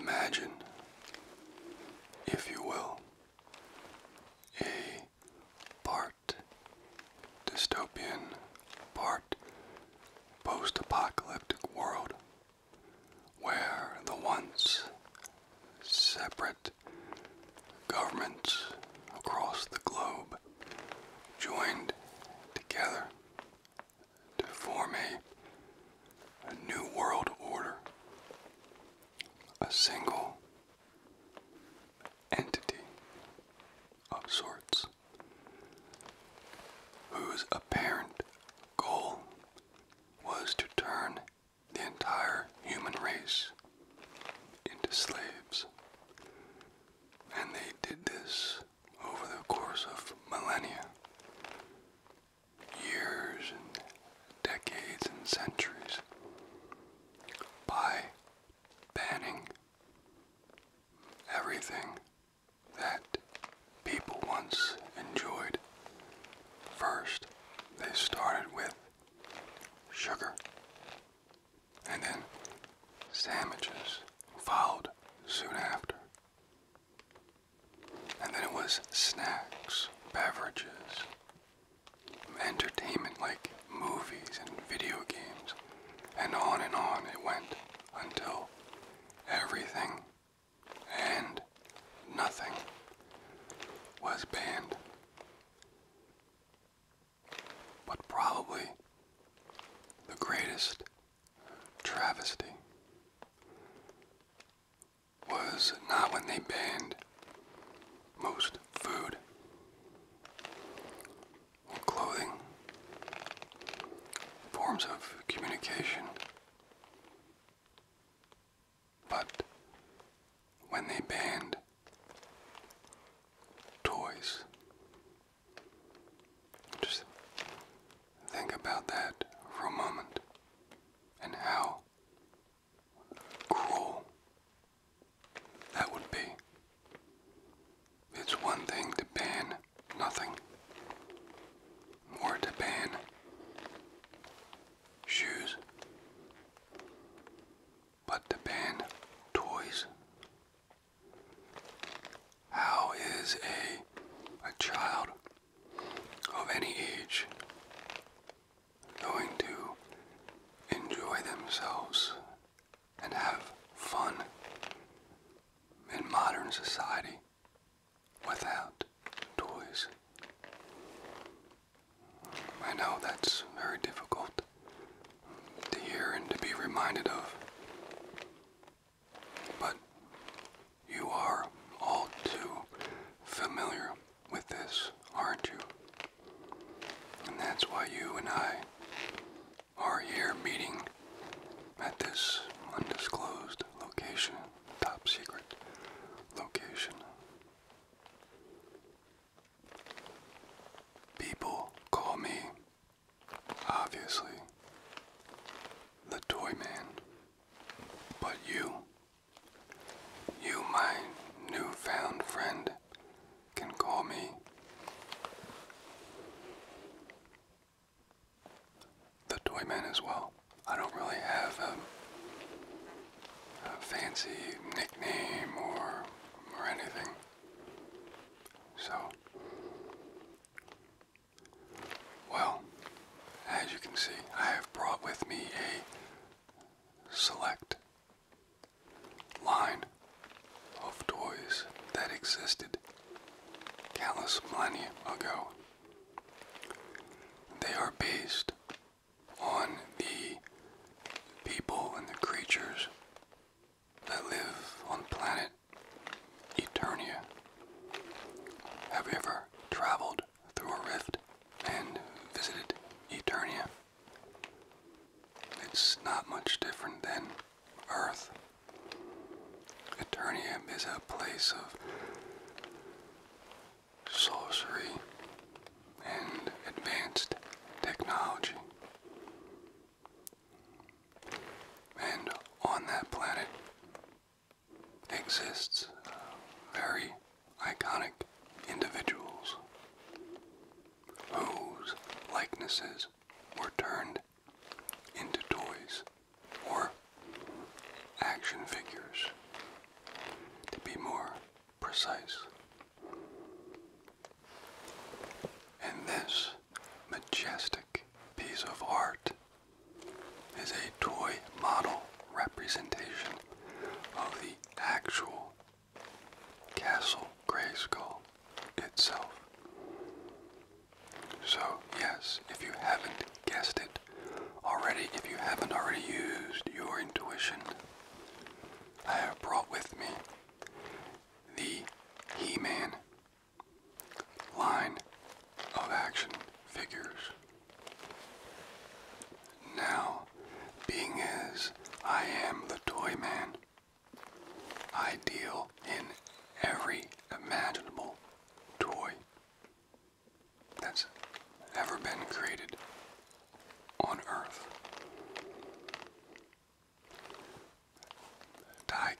Imagine, if you will, a part dystopian, part post apocalyptic world where the once separate governments across the globe joined together to form a, new world order, a single entity of sorts whose apparent goal was to turn the entire human race into slaves. And they did this over the course of millennia, years and decades and centuries, by banning everything that people once enjoyed. First, they started with sugar, and then sandwiches followed soon after. And then it was snacks, beverages, entertainment like movies and video games, and on and on it went until everything and nothing was banned. But probably the greatest travesty was not when they banned most food or clothing forms of communication. But when they banned toys, just think about that for a moment and how cruel that would be. It's one thing to ban nothing, or to ban shoes, but to ban toys. How is a, a child of any age going to enjoy themselves and have fun in modern society without toys. I know that's very difficult to hear and to be reminded of, but you are all too familiar with this, aren't you? And that's why you and I are here meeting at this undisclosed location, top secret location. People call me, obviously, the toy man. But you, you, my newfound friend, can call me the Toyman as well. I don't really have a, a fancy nickname or or anything. So, well, as you can see, I have brought with me a select line of toys that existed countless millennia ago. They are based on the people and the creatures that live on planet Eternia. Have you ever traveled through a rift and visited Eternia? It's not much different than earth. Eternium is a place of sorcery and advanced technology. And on that planet exists uh, very iconic individuals whose likenesses were turned into toys or action figures to be more precise. And this majestic piece of art is a toy model representation of the actual Castle Grayskull itself. So, yes, if you haven't guessed it already, if you haven't already used your intuition, I have brought with me the He Man line of action figures. Now, being as I am the Toy Man, I deal in every imaginable toy that's ever been created on Earth. Die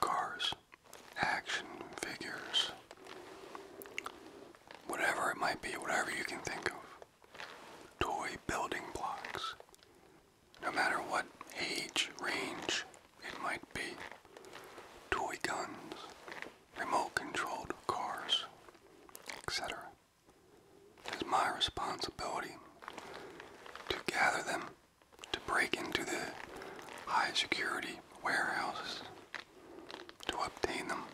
cars, action figures, whatever it might be, whatever you can think of. Toy building blocks. No matter what age range it might be toy guns, remote controlled cars, etc. It is my responsibility to gather them, to break into the high security warehouses, to obtain them,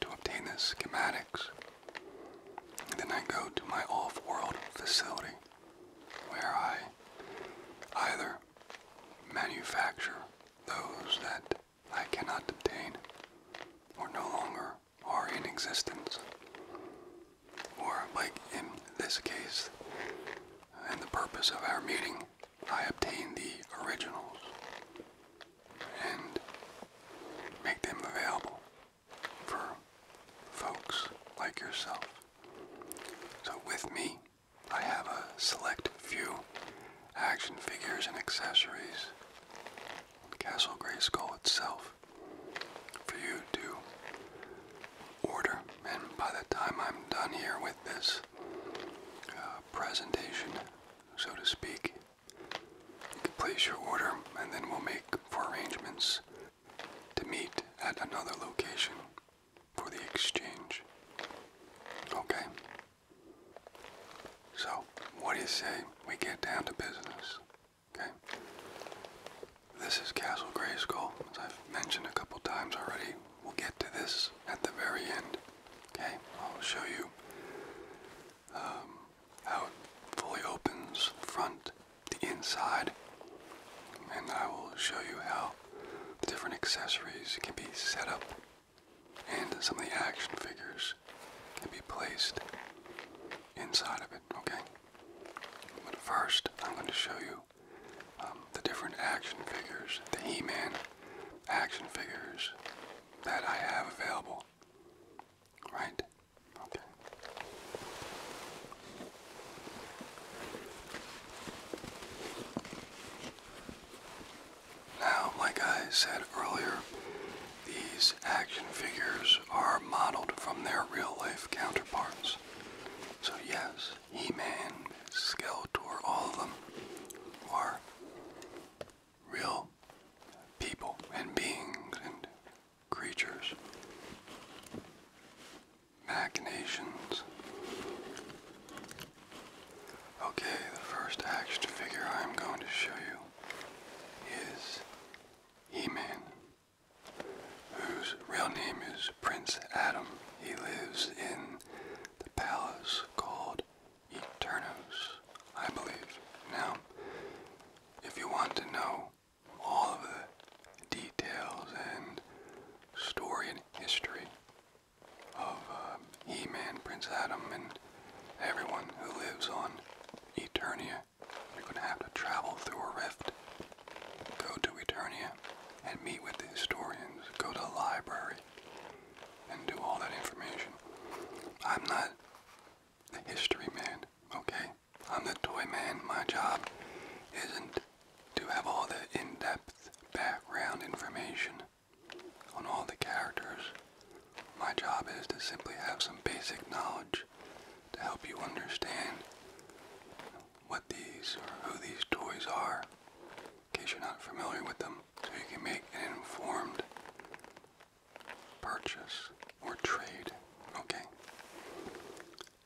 to obtain the schematics. And then I go to my off world facility where I either manufacture those that I cannot obtain or no longer are in existence, or like in this case, in the purpose of our meeting, I obtain the originals and make them available for folks like yourself. So with me, I have a select few action figures and accessories. Castle Grey Skull itself for you to order. And by the time I'm done here with this uh, presentation, so to speak, you can place your order and then we'll make for arrangements to meet at another location for the exchange. Okay? So, what do you say we get down to business? Okay? This is Castle Grayskull, as I've mentioned a couple times already. We'll get to this at the very end. Okay? I'll show you um, how it fully opens the front, the inside, and I will show you how the different accessories can be set up and some of the action figures can be placed inside of it, okay? But first, I'm going to show you um, the different action figures, the e man action figures that I have available, right? Okay. Now, like I said earlier, these action figures are modeled from their real life counterparts. So, yes, He Man, Skeletor, all of them are real people and beings and creatures machinations. Okay, the first action figure I'm going to show you is He-Man, whose real name is Prince Adam. He lives in the palace called Eternos, I believe. Now, if you want to know all of the details and story and history of um, He-Man, Prince Adam, and everyone who lives on Eternia. You're going to have to travel through a rift, go to Eternia, and meet with the historians, go to the library, and do all that information. I'm not the history man, okay? I'm the toy man. My job isn't to have all the in-depth background information on all the characters. My job is to simply have some basic knowledge to help you understand what these or who these toys are in case you're not familiar with them so you can make an informed purchase or trade. Okay.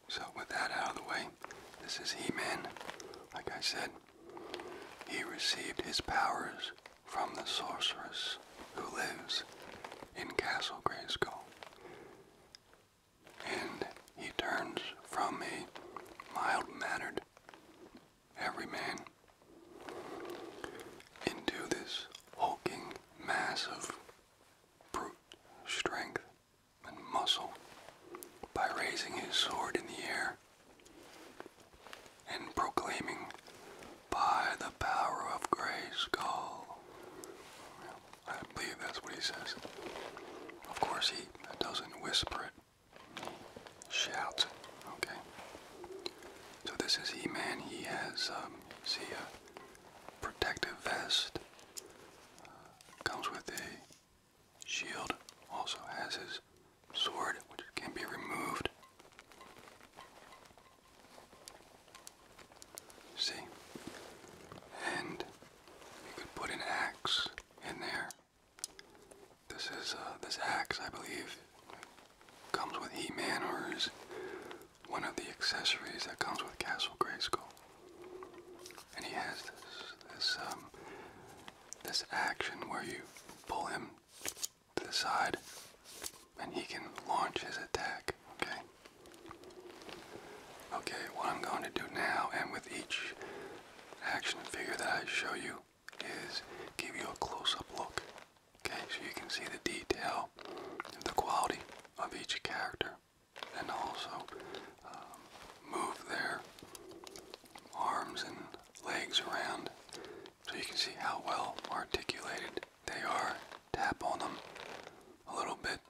So with that out of the way, this is He-Man. Like I said, he received his powers from the sorceress who lives in Castle Grayskull. And he turns from a mild-mannered everyman into this hulking, of brute strength and muscle by raising his sword in the air and proclaiming, By the power of Grey Skull. I believe that's what he says. Of course, he doesn't whisper it, he shouts Okay. So, this is He Man. He has, um, see, a protective vest. Uh, comes with a shield also has his sword, which can be removed. See? And you could put an axe in there. This is uh, this axe, I believe, comes with E Manor's one of the accessories that comes with Castle Grey Grayskull. And he has this um, this action where you pull him to the side and he can launch his attack, okay? Okay, what I'm going to do now and with each action figure that I show you is give you a close-up look. Okay, so you can see the detail and the quality of each character and also um, move their arms and legs around so you can see how well articulated they are. Tap on them a little bit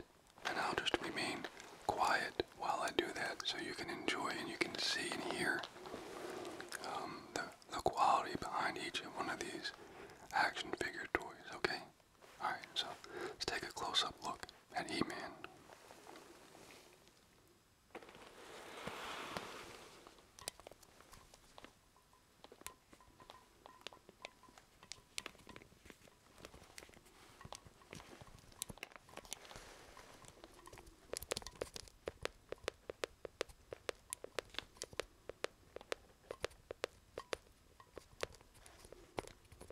and I'll just remain quiet while I do that so you can enjoy and you can see and hear um, the, quality behind each one of these action figure toys, okay? Alright, so let's take a close-up look and He Man.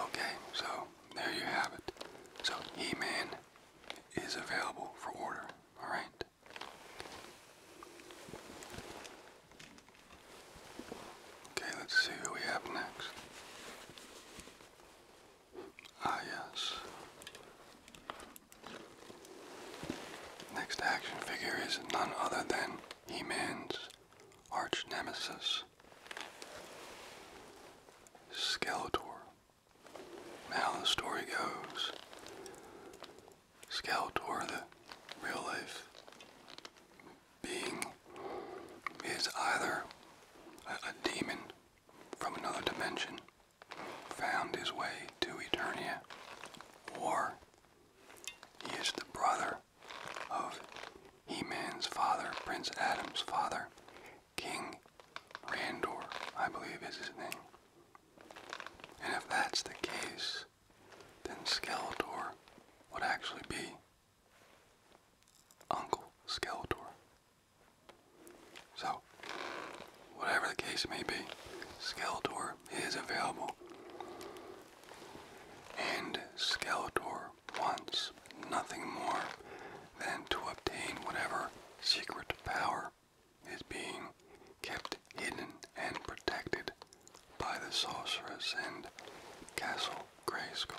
Okay, so there you have it. So He-Man is available for order, alright? Okay, let's see who we have next. Ah, yes. Next action figure is none other than He-Man's arch nemesis, Skeletor. Now the story goes, Skeletor, the real life being, is either a, demon from another dimension, found his way to Eternia, or he is the brother of He-Man's father, Prince Adam's father, King Randor, I believe is his name. And if that's the case, then Skeletor would actually be Uncle Skeletor. So, whatever the case may be, Skeletor is available. And Skeletor wants nothing more than to obtain whatever secret power is being kept hidden and protected by the sorceress and Castle Grayskull.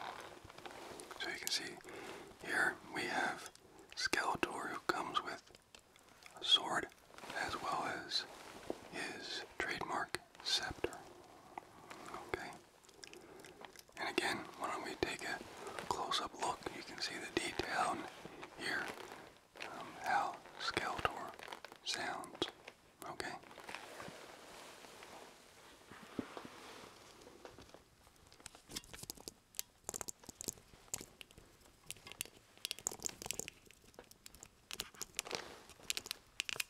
So you can see here we have Skeletor who comes with a sword as well as his trademark scepter. Okay? And again, why don't we take a close up look? You can see the detail here um, how Skeletor sounds. Okay?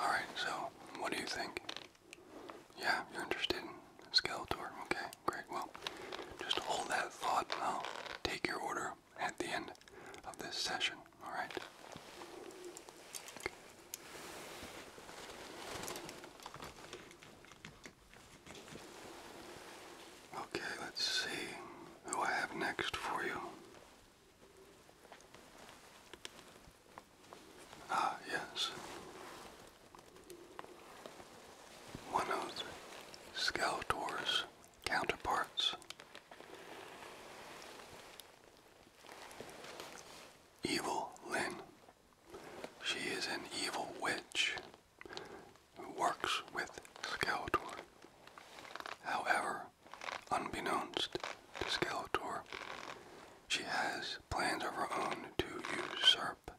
All right, so what do you think? Yeah, you're interested in Skeletor. Okay, great. Well, just hold that thought and I'll take your order at the end of this session, alright? Okay, let's see who I have next for you. Ah, yes. One of Skeletor's counterparts. Evil Lynn. She is an evil witch who works with Skeletor. However, unbeknownst to Skeletor, she has plans of her own to usurp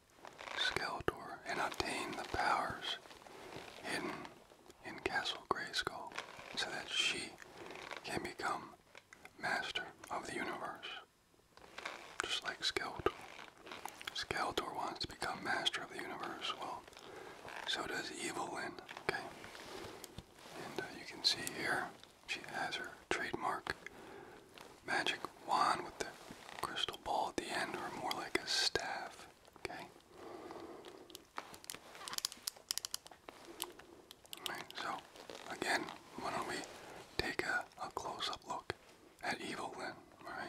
Skeletor and obtain the powers hidden in Castle Grayskull so that she can become master of the universe. Just like Skeletor. Skeletor wants to become master of the universe. Well, so does Evelyn, okay? And uh, you can see here, she has her trademark magic wand with the crystal ball at the end, or more like a staff. Okay. so again, why don't we take a close-up look at Evil Lynn, alright?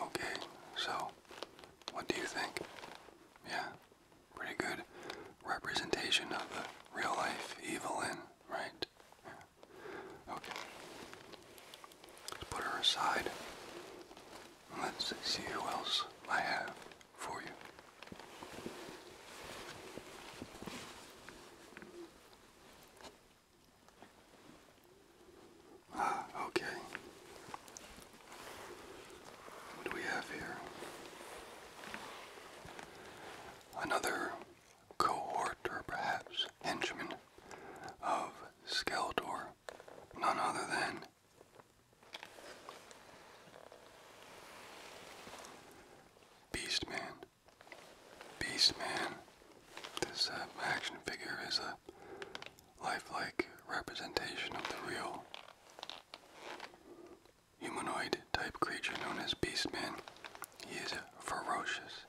Okay, so what do you think? Yeah, pretty good representation of the real life evil in, right? Okay. Let's put her aside. let's see who else I have for you. Ah, okay. What do we have here? Another cohort, or perhaps henchman, of Skeletor, none other than Beastman. Beastman. This uh, action figure is a lifelike representation of the real humanoid type creature known as Beastman. He is a ferocious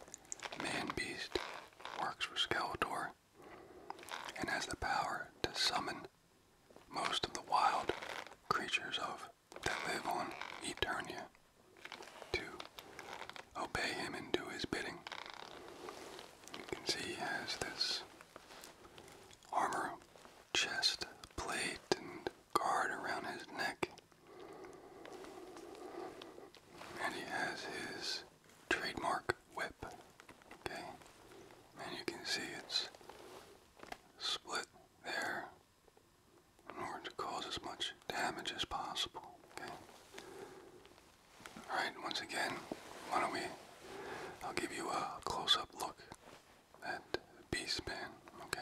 man beast, works for Skeletor, and has the power to summon most of the wild creatures of that live on Eternia to obey him and do his bidding. You can see he has this armor chest plate and guard around his neck. And he has his trademark whip. Okay? And you can see it's split there. In order to cause as much damage as possible. Okay. All right. Once again, why don't we? I'll give you a close-up look at b Okay.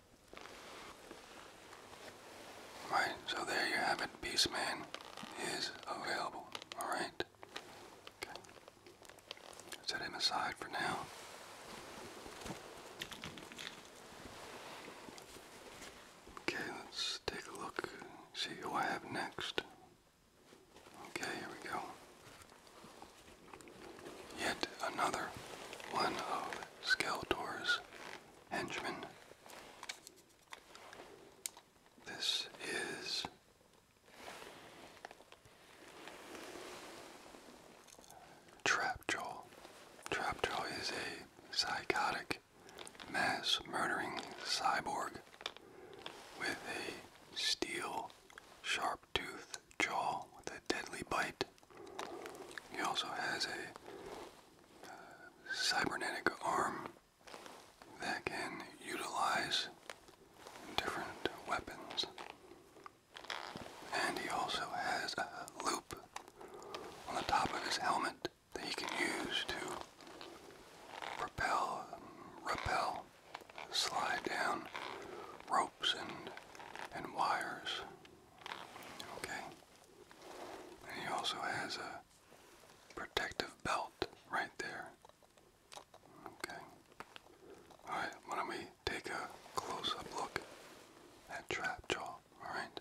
Right, so there you have it. Beastman is available. Alright? Okay. Set him aside for now. Okay, let's take a look, see who I have next. Okay, here we go. Yet another one of Skeletor's henchman. This is Trapjaw. Trapjaw is a psychotic, mass murdering cyborg with a steel, sharp toothed jaw with a deadly bite he also has a uh, cybernetic arm that can utilize different weapons. And he also has a loop on the top of his helmet that he can use to propel, repel, slide down ropes and and wires. Okay he also has a protective belt right there. Okay. Alright, why don't we take a close up look at Trapjaw, alright?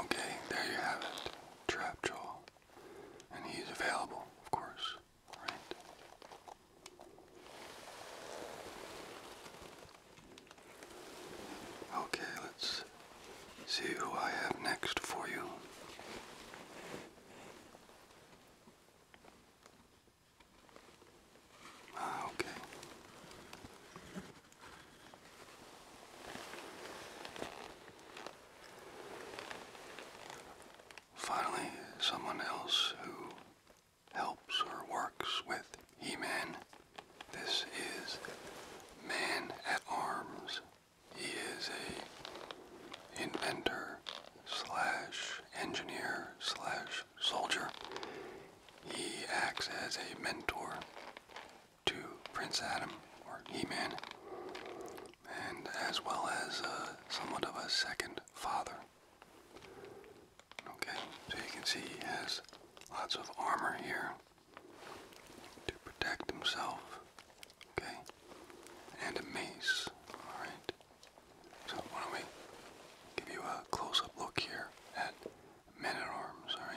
Okay, there you have it. Trapjaw. And he's available, of course, right? Okay, let's see who I have next for you. Ah, okay. Finally, someone else who helps or works with He men this is Man at Arms. He is a inventor slash engineer slash soldier. He acts as a mentor to Prince Adam or He-Man, and as well as uh, somewhat of a second father. Okay, so you can see he has lots of armor here to protect himself. Okay? And a mace. Alright? So why don't we give you a close up look here at men arms, alright?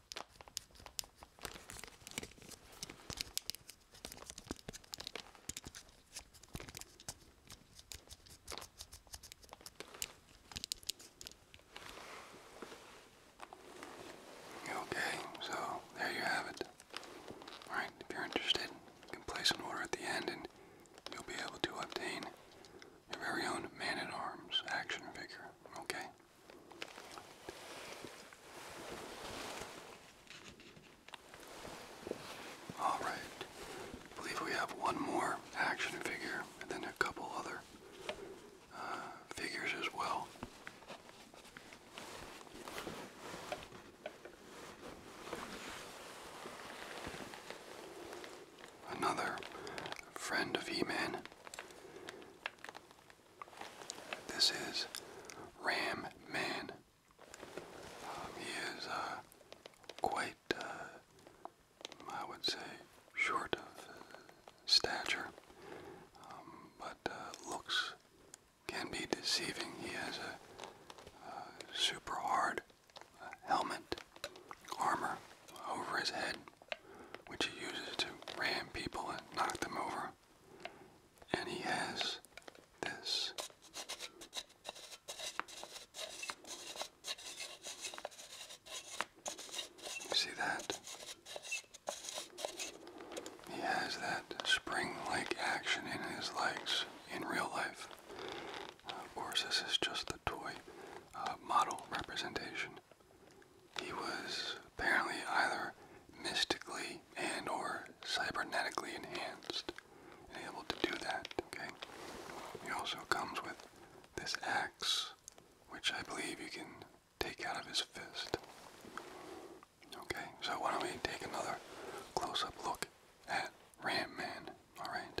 Okay, so there you have it. Alright, if you're interested, you can place an order at the end and you'll be able to obtain your very own man-at-arms action figure, okay? All right. I believe we have one more action figure and then a couple other uh, figures as well. Another friend of e man this is Ram Man. Um, he is uh, quite, uh, I would say, short of uh, stature, um, but uh, looks can be deceiving. He has a, uh, super hard helmet, armor over his head which he uses to ram people and knock them over. And he has this. See that? He has that spring-like action in his legs in real life. of course, this is just the toy uh, model representation. He was apparently either mystically and or cybernetically enhanced and able to do that, okay? He also comes with this axe, which I believe you can take out of his fist. Okay, so why don't we take another close-up look at Ram Man, alright?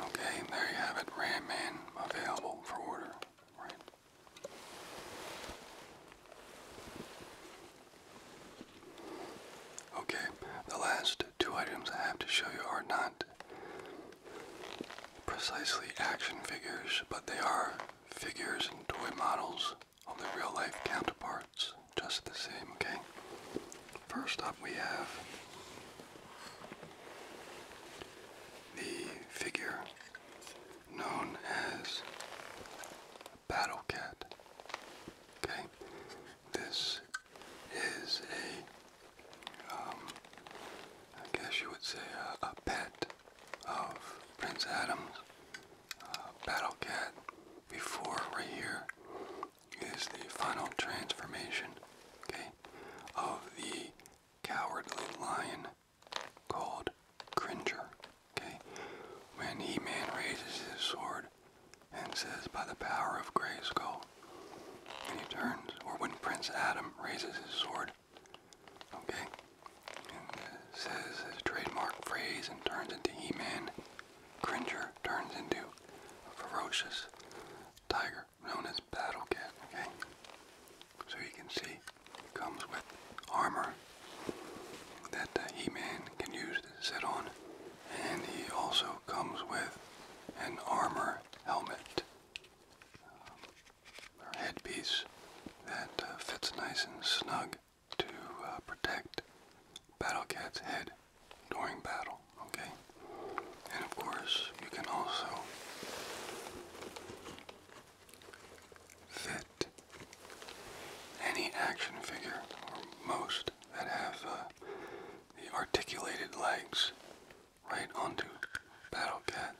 Okay, there you have it. Ram available for order. Right. Okay, the last two items I have to show you are not precisely action figures, but they are figures and toy models of their real life counterparts, just the same, okay? First up, we have the figure known as Battle Cat. Okay, this is a, um, I guess you would say a, pet of Prince Adam. Uh, battle Cat before right here is the final transformation, okay, of the cowardly lion called Cringer. Okay? When He Man raises his sword and says, By the power of Grayskull, and he turns, or when Prince Adam raises his sword, okay, and uh, says his trademark phrase and turns into He Man, Cringer turns into a ferocious tiger known as Battle Cat, okay? So you can see it comes with armor that uh, He-Man can use to sit on. And he also comes with an armor helmet um, headpiece that uh, fits nice and snug to uh, protect Battle Cat's head during battle, okay? And of course, you can also fit any action figure, or most that have uh, the articulated legs, right onto Battle Cat,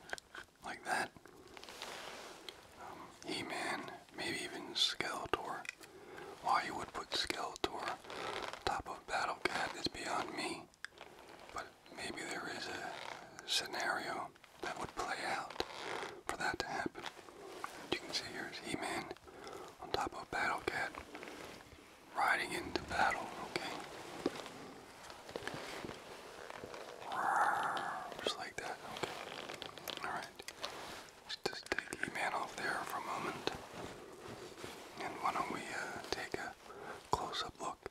like that. Um, He-Man, maybe even Skeletor. Why you would put Skeletor top of Battle Cat is beyond me. But maybe there is a scenario that would play out for that to happen. You can see here's He-Man on top of Battle Cat riding into battle, okay? Just like that, okay. Alright. just take He-Man off there for a moment. And why don't we uh, take a close-up look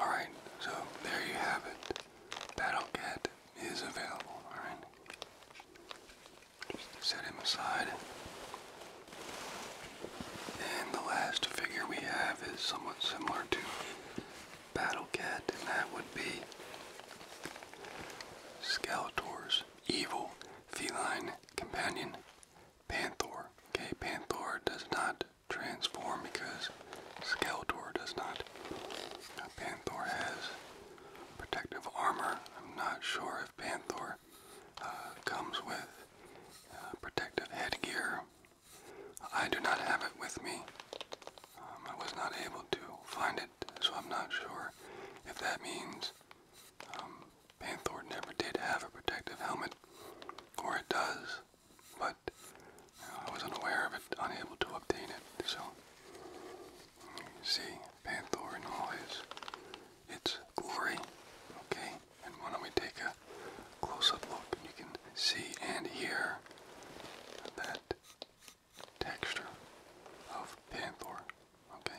Alright, so there you have it. Battlecat is available, alright? Just set him aside. And the last figure we have is somewhat similar to Battlecat, and that would be Skeletor's Evil Feline Companion, Panther. Okay, Panther does not transform because Skeletor does not. Now, Panther has protective armor. I'm not sure if Panther uh, comes with uh, protective headgear. I do not have it with me. Um, I was not able to find it, so I'm not sure if that means um, Van never did have a protective helmet, or it does, but I was unaware of it, unable to obtain it. So, you see Van in all its glory. Okay, and why don't we take a close-up look? And you can see and hear that texture of Panther. Okay.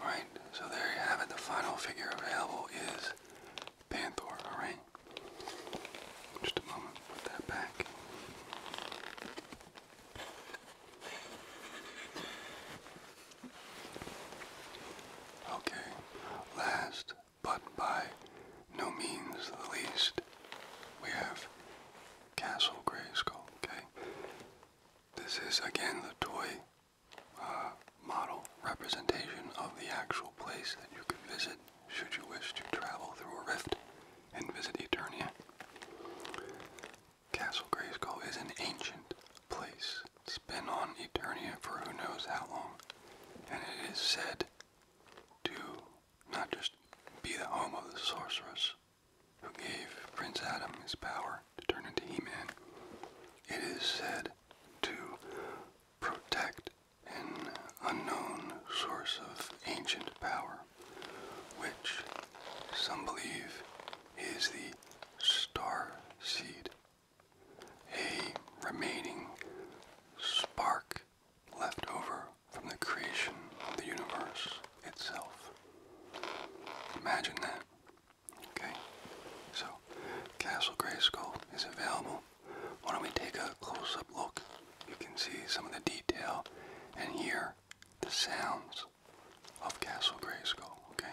Alright, so there you have it. The final figure available is Panther, alright? Just a moment, put that back. Okay, last but by no means the least, we have Castle Grayskull, okay? This is again the toy uh, model representation of the actual place that you could visit should you wish to travel through a rift and visit Eternia. Castle Grayskull is an ancient place it's been on Eternia for who knows how long. And it is said to not just be the home of the sorceress who gave Prince Adam his power to turn into He-Man. It is said to protect an unknown source of ancient power, which some believe is the star seed a remaining spark left over from the creation of the universe itself. Imagine that. Okay? So, Castle Grayskull is available. Why don't we take a close-up look? You can see some of the detail and hear the sounds of Castle Grayskull, okay?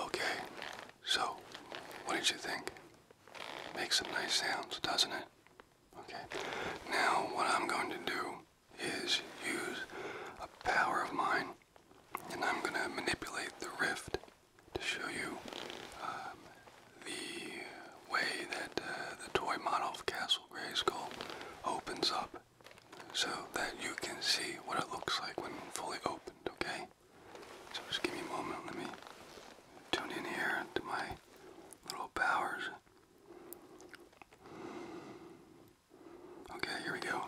Okay, so what did you think? Makes some nice sounds, doesn't it? Okay, now what I'm going to do is use a power of mine and I'm going to manipulate the rift to show you um, the way that uh, the toy model of Castle Grayskull opens up so that you can see what it looks like when fully opened, okay? So just give me a moment, let me tune in here to my little powers. Okay, here we go.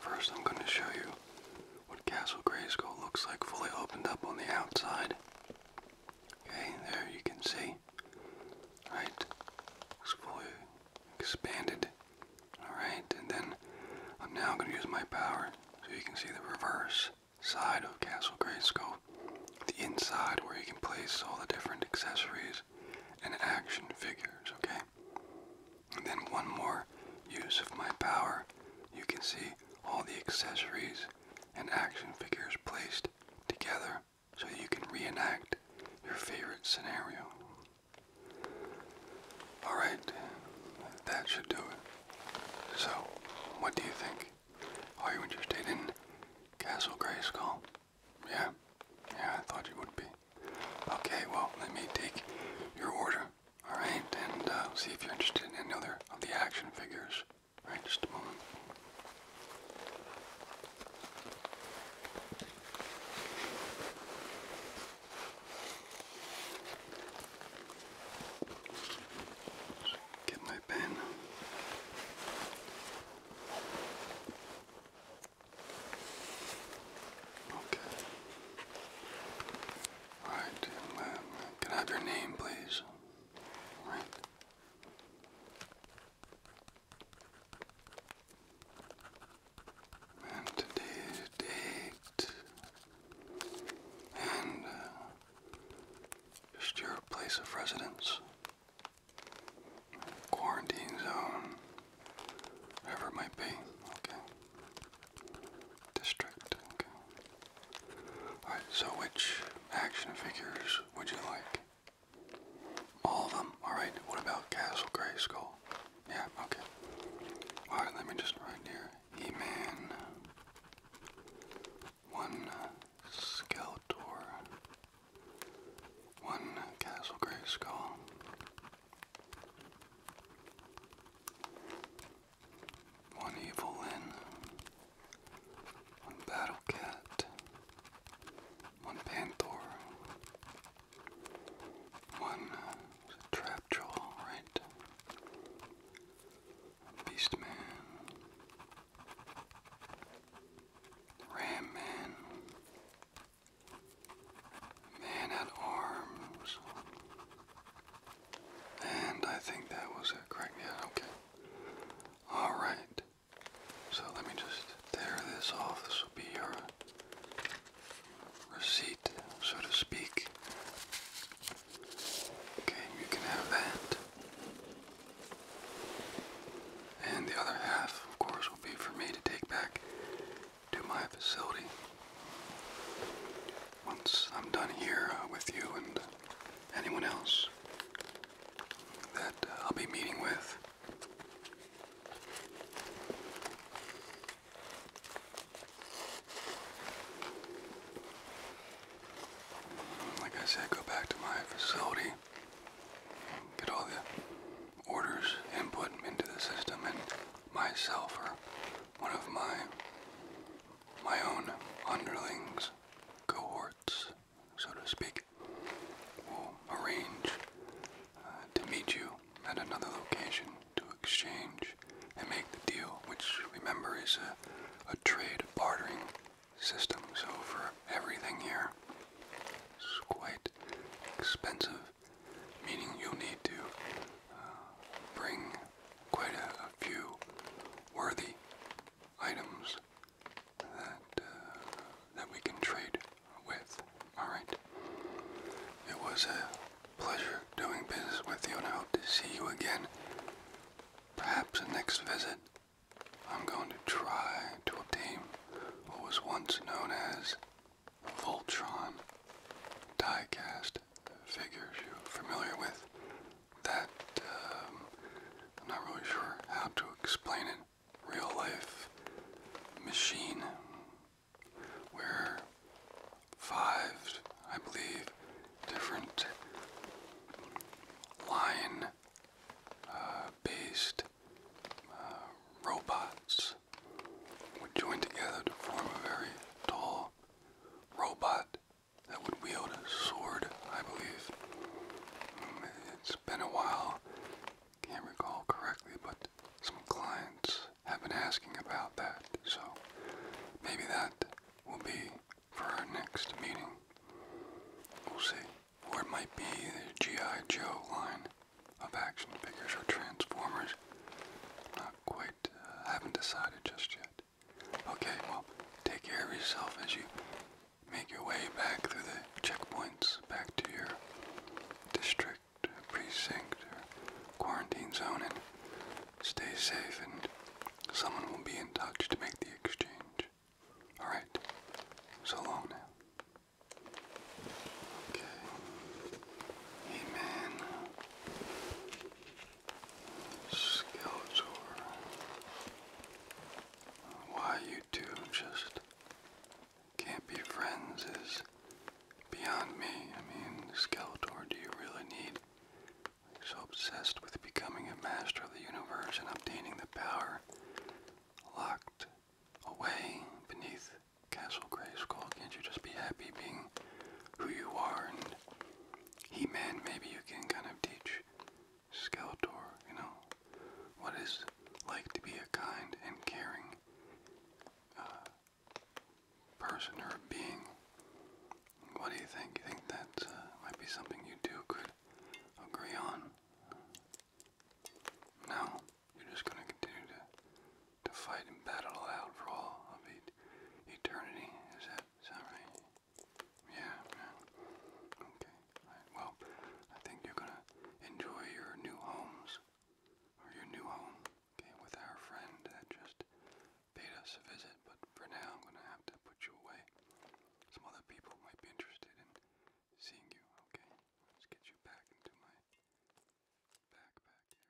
First I'm going to show you what Castle Grayskull looks like fully opened up on the outside. Okay, there you can see. Right? It's fully expanded. Alright, and then I'm now going to use my power so you can see the reverse side of Castle Grayskull. The inside where you can place all the different accessories and action figures, okay? And then one more use of my power. You can see all the accessories and action figures placed together so you can reenact your favorite scenario. Alright, that should do it. So, what do you think? Are you interested in Castle Grayskull? Yeah? Yeah, I thought you would be. Okay, well, let me take your order. Alright, and uh, see if you're interested in any other of the action figures. Alright, just a moment. Get my pen. Okay. All right, um, can I have your name, please? And today's date. And uh, just your place of residence. Quarantine zone. Whatever might be. Okay distracting. Alright, so which action figures would you like? All of them? Alright, what about Castle Grayskull? Yeah, okay. Alright, let me just write here. He-Man. One Skeletor. One Castle Grayskull one evil Lynn, one battle cat, one Panther, one trap jaw, right? Beast man, ram man, man at arms. And I think that was it, correct? Yeah, okay. Alright. So let me just tear this off. This will be your receipt, so to speak. Okay, you can have that. And the other half, of course, will be for me to take back to my facility once I'm done here uh, with you and anyone else that uh, I'll be meeting with. Like I said, go back to my facility, get all the orders input into the system, and myself or one of my my own underlings, cohorts, so to speak, will arrange uh, to meet you at another location to exchange and make the deal, which remember is a, a trade bartering system. So for everything here, it's quite expensive, meaning you'll need to uh, bring quite a, few worthy items that uh, that we can trade with. All right. It was a pleasure doing business with you, and I hope to see you again. Perhaps the next visit, I'm going to try to obtain what was once known as Voltron diecast figures you're familiar with that um, I'm not really sure how to explain it. Real life machine where five, I believe, different line uh, based uh, robots would join together to form a very tall robot that would wield a sword, I believe. Mm, it's been a while, can't recall correctly, but some clients have been asking about that, so maybe that will be for our next meeting. We'll see. Or it might be the G.I. Joe line of action figures or Transformers. Not quite I haven't decided just yet. Okay, well, take care of yourself as you make your way back through the checkpoints, back to your district, precinct, or quarantine zone, and stay safe, and someone will be in touch to make the exchange. Alright, so long Okay. Hey Skeletor. Why you two just can't be friends is beyond me. I mean, Skeletor, do you really need so obsessed with becoming a master of the universe and obtaining the power locked away beneath Castle Grayskull? Can't you just be happy being who you are he-Man, maybe you can kind of teach Skeletor, you know, what it's like to be a kind and caring uh, person or being. What do you think? You think that uh, might be something you two could agree on? No, you're just going to continue to to fight and battle out for all of eternity. Is that, is that right? Yeah, Okay. Well, I think you're gonna enjoy your new homes, or your new home. Okay, with our friend that just paid us a visit. But for now, I'm gonna have to put you away. Some other people might be interested in seeing you. Okay, let's get you back into my backpack here.